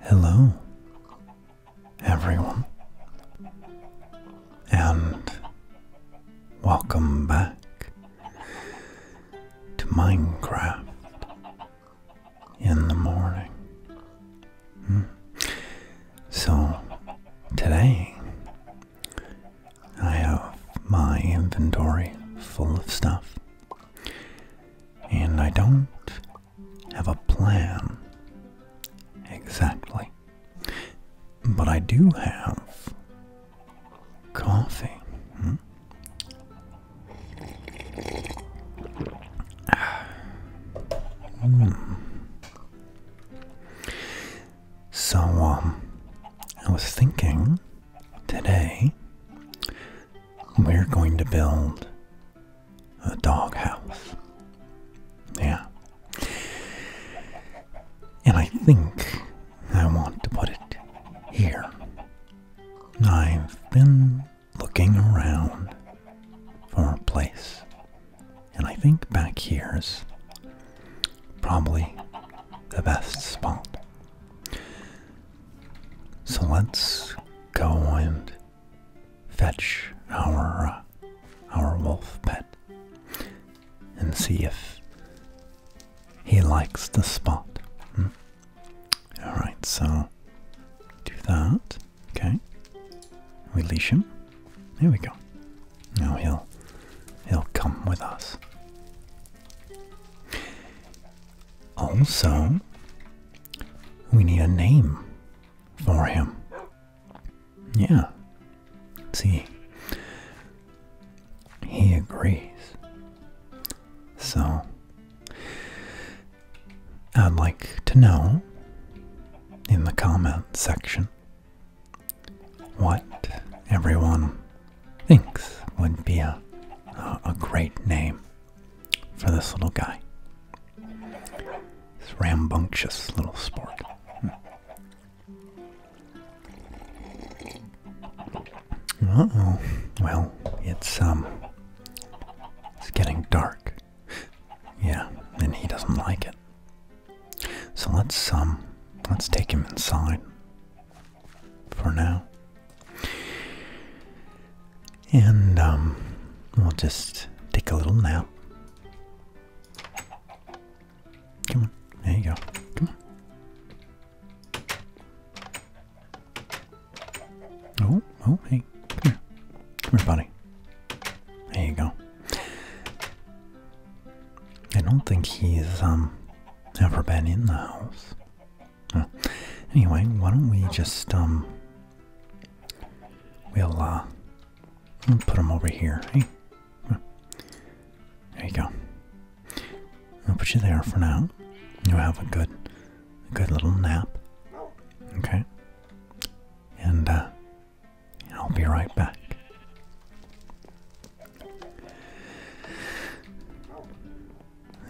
Hello, everyone, and welcome back to Minecraft in the morning. Hmm. So, today I have my inventory full of stuff and I don't have a plan exactly, but I do have coffee. Hmm? Hmm. So, um, I was thinking today we're going to build a doghouse. Yeah. And I think I want to put it here. I've been looking around for a place, and I think back here is probably the best spot. So let's go and fetch our uh, our wolf pet and see if he likes the spot. Hmm? All right, so do that. Okay, we leash him. There we go. Now he'll he'll come with us. Also, we need a name for him. Yeah. See, he agrees. So, I'd like to know in the comment section what everyone thinks would be a, a, great name for this little guy. This rambunctious little sport. oh. Well, it's um it's getting dark. Yeah, and he doesn't like it. So let's um let's take him inside for now. And um, we'll just take a little nap. Come on, there you go. Come on. Oh, oh, hey, come here. buddy. There you go. I don't think he's um, ever been in the house. Anyway, why don't we just um, we'll uh, put them over here. Hey, there you go. I'll put you there for now. you have a good, good little nap. Okay, and uh, I'll be right back.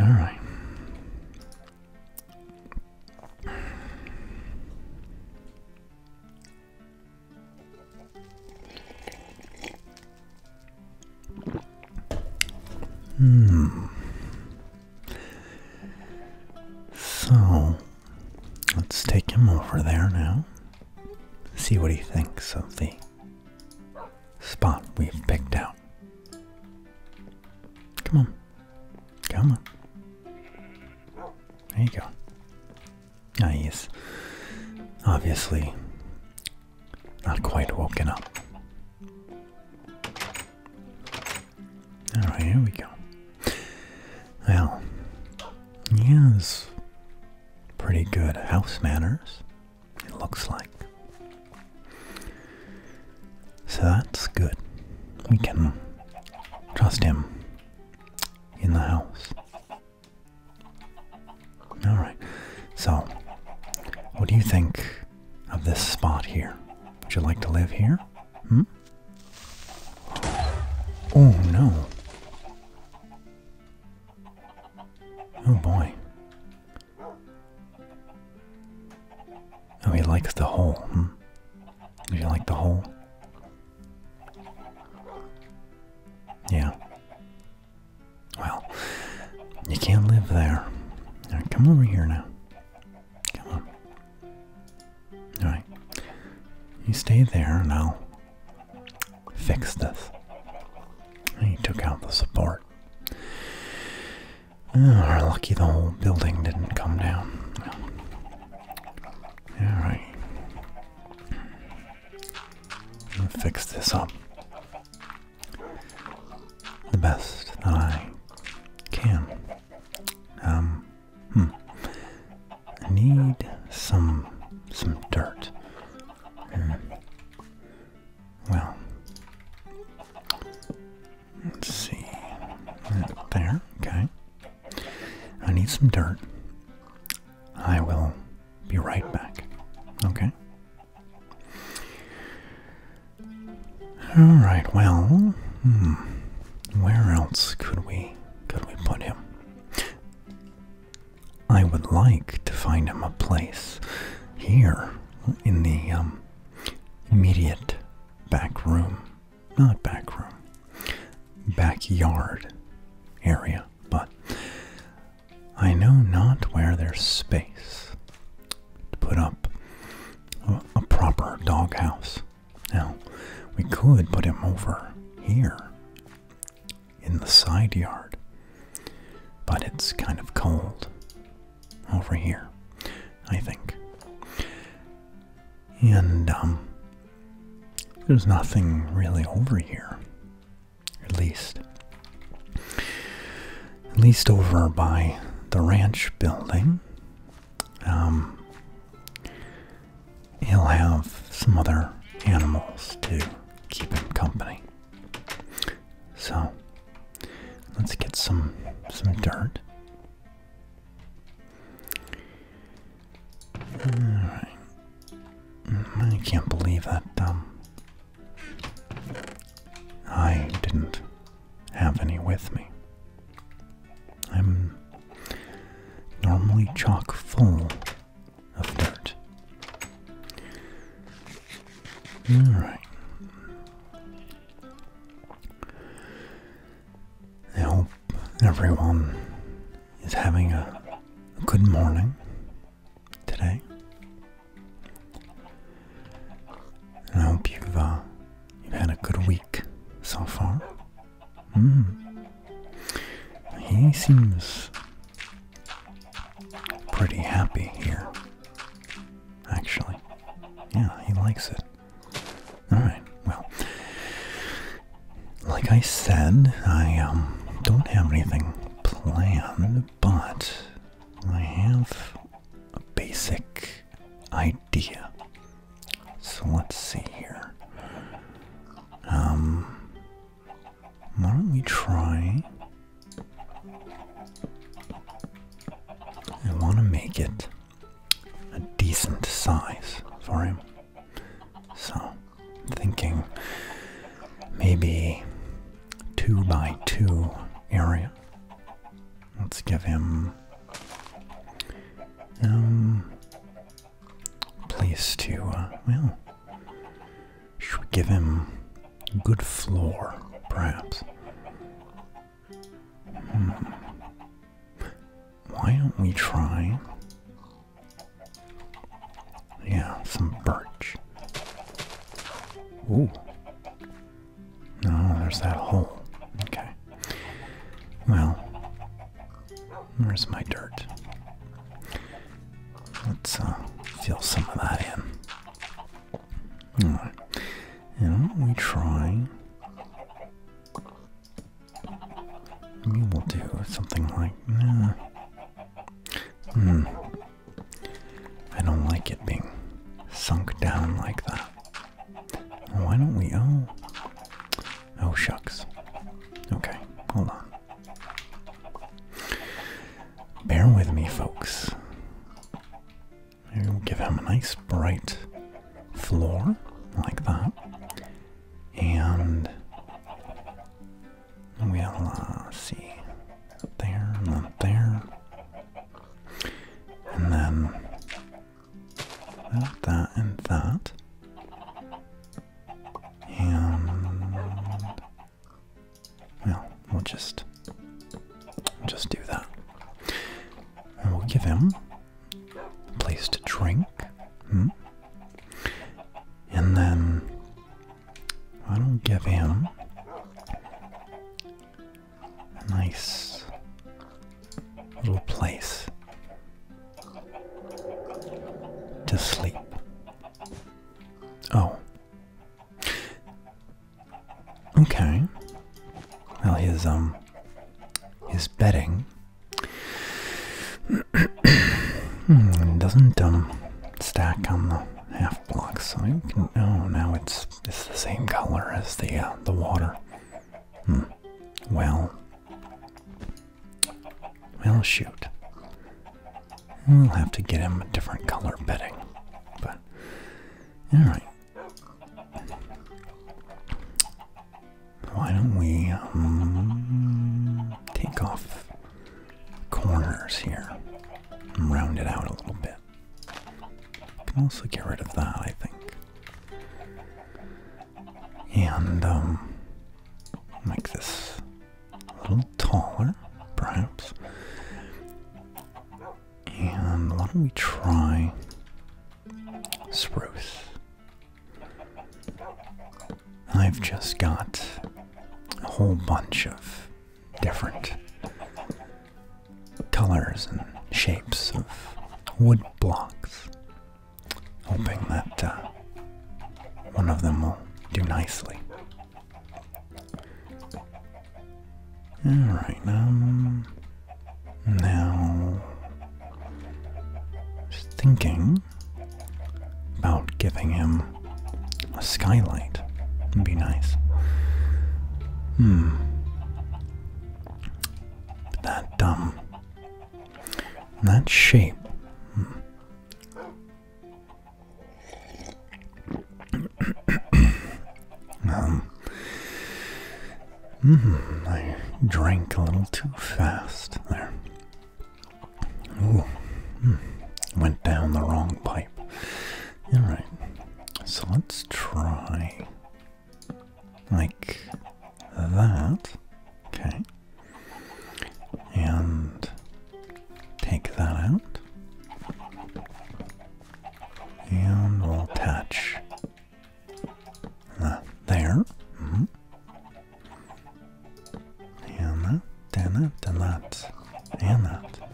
All right. Hmm. So let's take him over there now. See what he thinks of the spot we've picked out. Come on. Come on. There you go. Nice. Obviously, not quite woken up. Alright, here we go. Well, he has pretty good house manners, it looks like. So that's good. We can trust him in the house. Alright, so what do you think of this spot here? Would you like to live here? Hmm? Oh no. Oh boy. Oh, he likes the hole. Hmm? Do you like the hole? Yeah. Well, you can't live there. come over here now. Come on. All right. You stay there and I'll fix this. He took out the support. Oh, we're lucky the whole building didn't come down. Alright. Fix this up the best that I can. Um, hmm. I need some some dirt. Hmm. Well, Let's see. There, okay. I need some dirt. I will be right back. Okay. Alright, well, hmm, Where else could we could we put him? I would like to find him a place here in the um, immediate back room, not back room, backyard area, but I know not where there's space to put up a, a proper doghouse. Now, we could put him over here in the side yard, but it's kind of cold over here, I think. And um, there's nothing really over here, at least. At least over by the ranch building. Um, he'll have some other animals to keep him company. So let's get some some dirt Mm, I can't believe that, um, I didn't have any with me. I'm normally chock full of dirt. Alright. I hope everyone is having a, good morning today. And I hope you've uh, you've had a good week so far. Hmm. He seems pretty happy here. Actually, yeah, he likes it. All right. Well, like I said, I um, don't have anything planned, but I have a basic idea. So let's see here. Um, why don't we try I want to make it a decent size for him. So, thinking maybe two by two area. Let's give him um place to uh, well. give him good floor, perhaps? Hmm. Why don't we try? Yeah, some birch. Ooh. No, there's that hole. Okay. Well, where's my dirt? Let's uh, fill some of that in. Alright. And we try. Maybe we'll do something like. Nah. Hmm. I don't like it being sunk down like that. Why don't we? Oh. Oh, shucks. Okay, hold on. Bear with me, folks. We'll give him a nice bright floor like that. And we'll uh, see up there and then up there. And then that, that, and that. And well, we'll just just do that. And we'll give him a place to drink. Hmm? And then I don't give him a nice little place to sleep. Oh. Okay. Well, his um, his bedding hmm, doesn't um stack on the half block, so you can. Oh, now it's it's the same color as the uh, the water. Hmm. Well. Well, shoot. We'll have to get him a different color bedding. But, alright. Why don't we um, take off corners here and round it out a little bit? Can also get rid of that, I think. And um, make this a little taller, perhaps. And why don't we try Spruce. I've just got a whole bunch of different colors and shapes of wood blocks, hoping that uh, one of them will do nicely. All right, um, now, I was thinking about giving him a skylight. Would be nice. Hmm. That um. That shape. Um, mm, I drank a little too fast there. Ooh, hmm, went down the wrong pipe. All right, so let's try like that. Okay, and take that out. And we'll attach uh, there. And that, and that, and that, and that.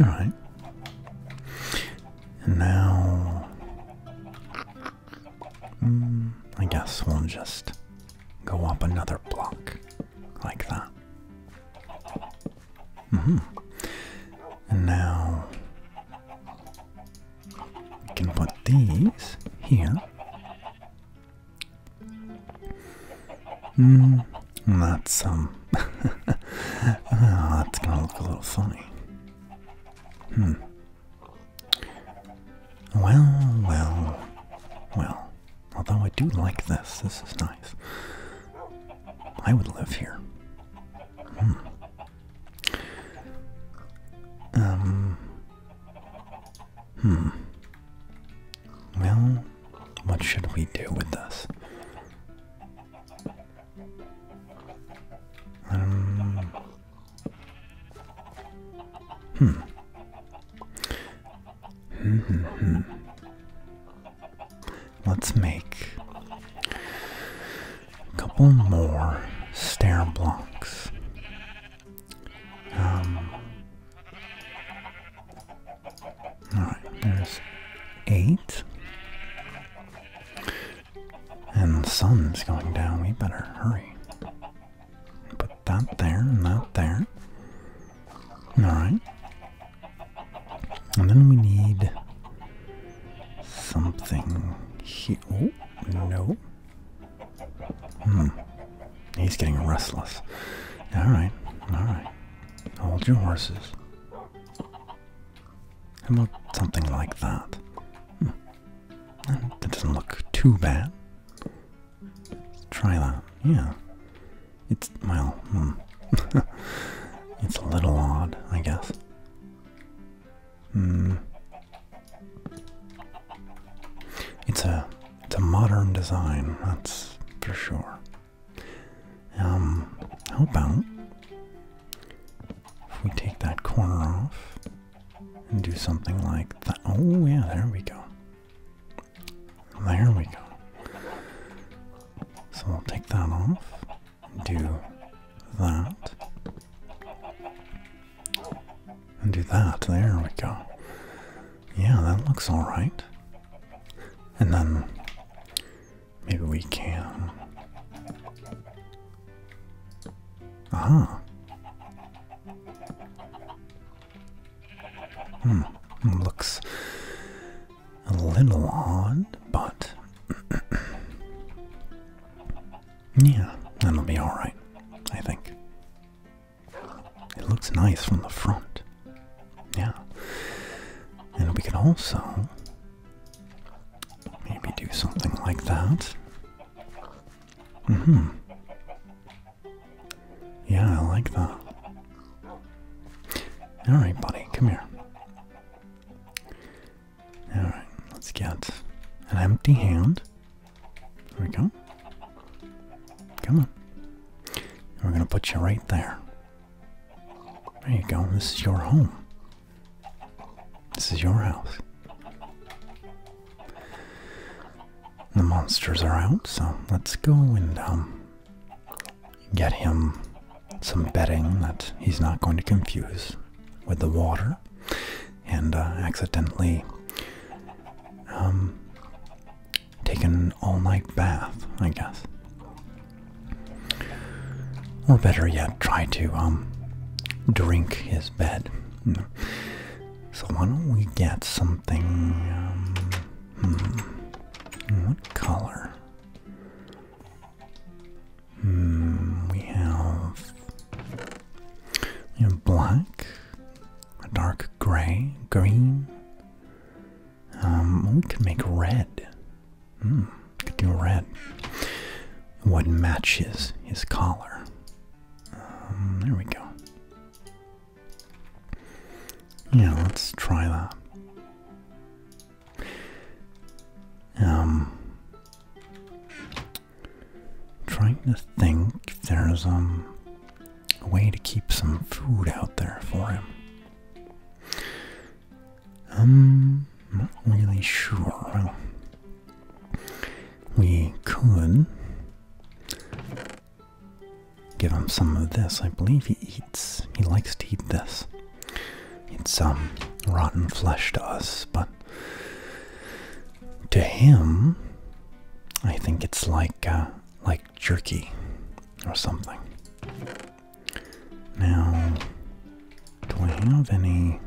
All right. And now, mm, I guess we'll just go up another block like that. Mm-hmm. And now, we can put these here. Hmm, that's um, ah, that's gonna look a little funny. Hmm. Well, well, well. Although I do like this, this is nice. I would live here. Hmm. Um. Hmm. Well, what should we do with this? Um. Hmm. Hmm, hmm, hmm. Let's make a couple more stair blocks. Um, alright, there's eight. And the sun's going down. We better hurry. Put that there and that there. Alright. And then we need something He. Oh, no. Hmm. He's getting restless. Alright, alright. Hold your horses. How about something like that? Hmm. That doesn't look too bad. try that. Yeah. It's, well, hmm. it's a little odd, I guess. Hmm. It's a it's a modern design, that's for sure. Um, how about if we take that corner off and do something like that? Oh yeah, there we go. There we go. So we'll take that off do that. And do that. There we go. Yeah, that looks alright. And then maybe we can. Aha. Hmm. Looks a little odd, but Yeah, that'll be alright, I think. It looks nice from the front. Yeah. And we could also maybe do something like that. Mm hmm. Yeah, I like that. Alright, buddy, come here. Alright, let's get an empty hand. There we go. Come on. We're going to put you right there. There you go. This is your home. This is your house. The monsters are out, so let's go and um, get him some bedding that he's not going to confuse with the water and uh, accidentally um, take an all night bath, I guess. Or better yet, try to um, drink his bed. So why don't we get something? Um, hmm, what color? Hmm, we have we have black, a dark gray, green. Um, we can make red. Hmm, could do red. What matches his collar? Um, there we go. Yeah, let's try that. Um, trying to think if there's um, a way to keep some food out there for him. Um, I'm not really sure. we could give him some of this. I believe he eats. He likes to eat this. It's um rotten flesh to us, but to him, I think it's like uh, like jerky or something. Now, do I have any?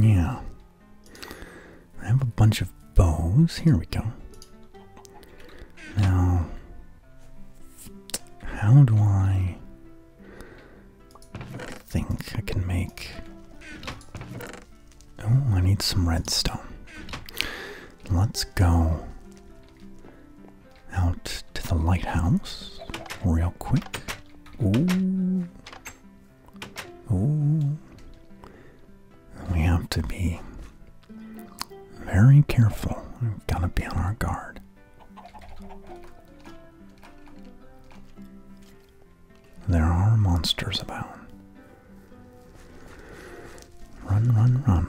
Yeah, I have a bunch of bows. Here we go. Now, how do I? I think I can make. Oh, I need some redstone. Let's go out to the lighthouse real quick. Ooh. Ooh. We have to be very careful. We've got to be on our guard. There are monsters about. Run, run, run.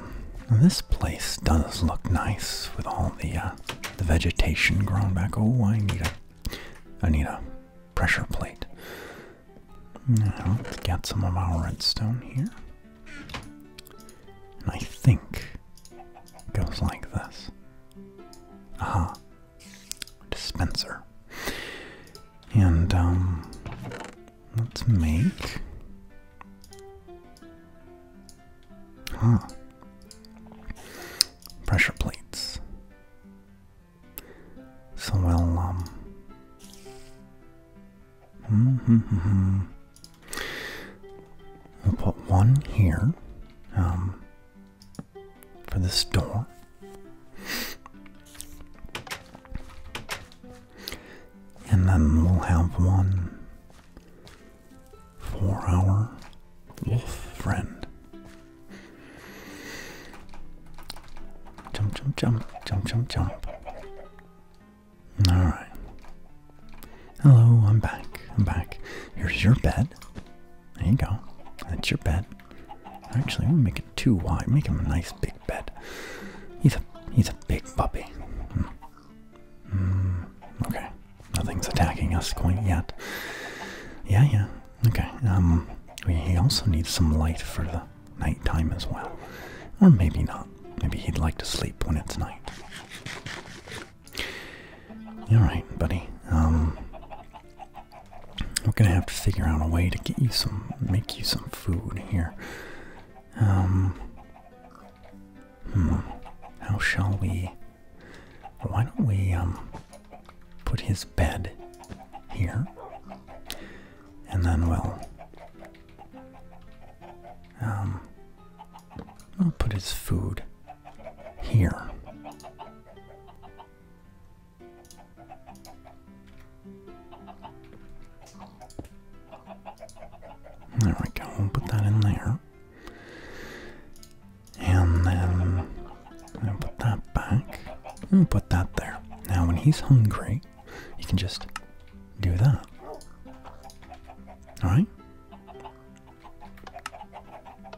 this place does look nice with all the uh, the vegetation grown back. Oh, I need a, I need a pressure plate. let's get some of our redstone here, and I think it goes like this. Aha. Dispenser. And, um, let's make. Huh. Pressure plates. So we'll, um. Mm -hmm -hmm -hmm. We'll put one here. Um, for the storm. And then we'll have one for our wolf friend. Jump, jump, jump, jump, jump, jump. Alright. Hello, I'm back. I'm back. Here's your bed. There you go. That's your bed. Actually, we'll make it too wide. Make him a nice big bed. He's a he's a big puppy. Hmm. Hmm. Okay. Nothing's attacking us quite yet. Yeah, yeah. Okay. Um, we also needs some light for the nighttime as well, or maybe not. Maybe he'd like to sleep when it's night. All right, buddy. Um, we're gonna have to figure out a way to get you some, make you some food here. Um, hmm. How shall we? Why don't we um put his bed here, and then we'll um we'll put his food here. There we go, put that in there. And then put that back. put that there. Now when he's hungry, you can just do that. Alright?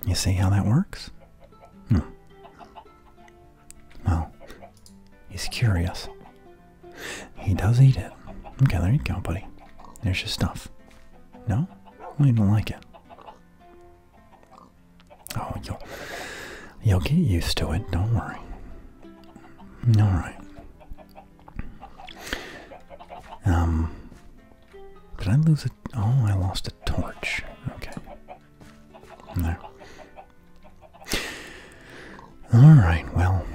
You see how that works? Hmm. Well, he's curious. He does eat it. Okay, there you go, buddy. There's your stuff. No? Well, don't like it. Oh, you'll, you'll get used to it. Don't worry. All right. Um, did I lose it? Oh, I lost a torch. Okay. There. Alright, well,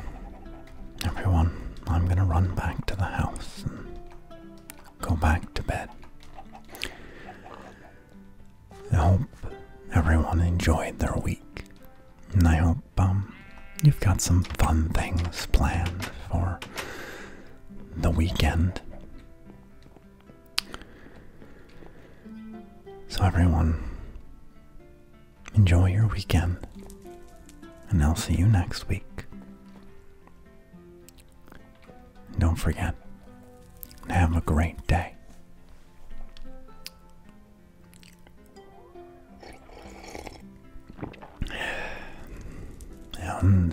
everyone, I'm gonna run back to the house and go back to bed. I hope everyone enjoyed their week, and I hope um, you've got some fun things planned for the weekend. So, everyone, enjoy your weekend, and I'll see you next week. don't forget, have a great day. And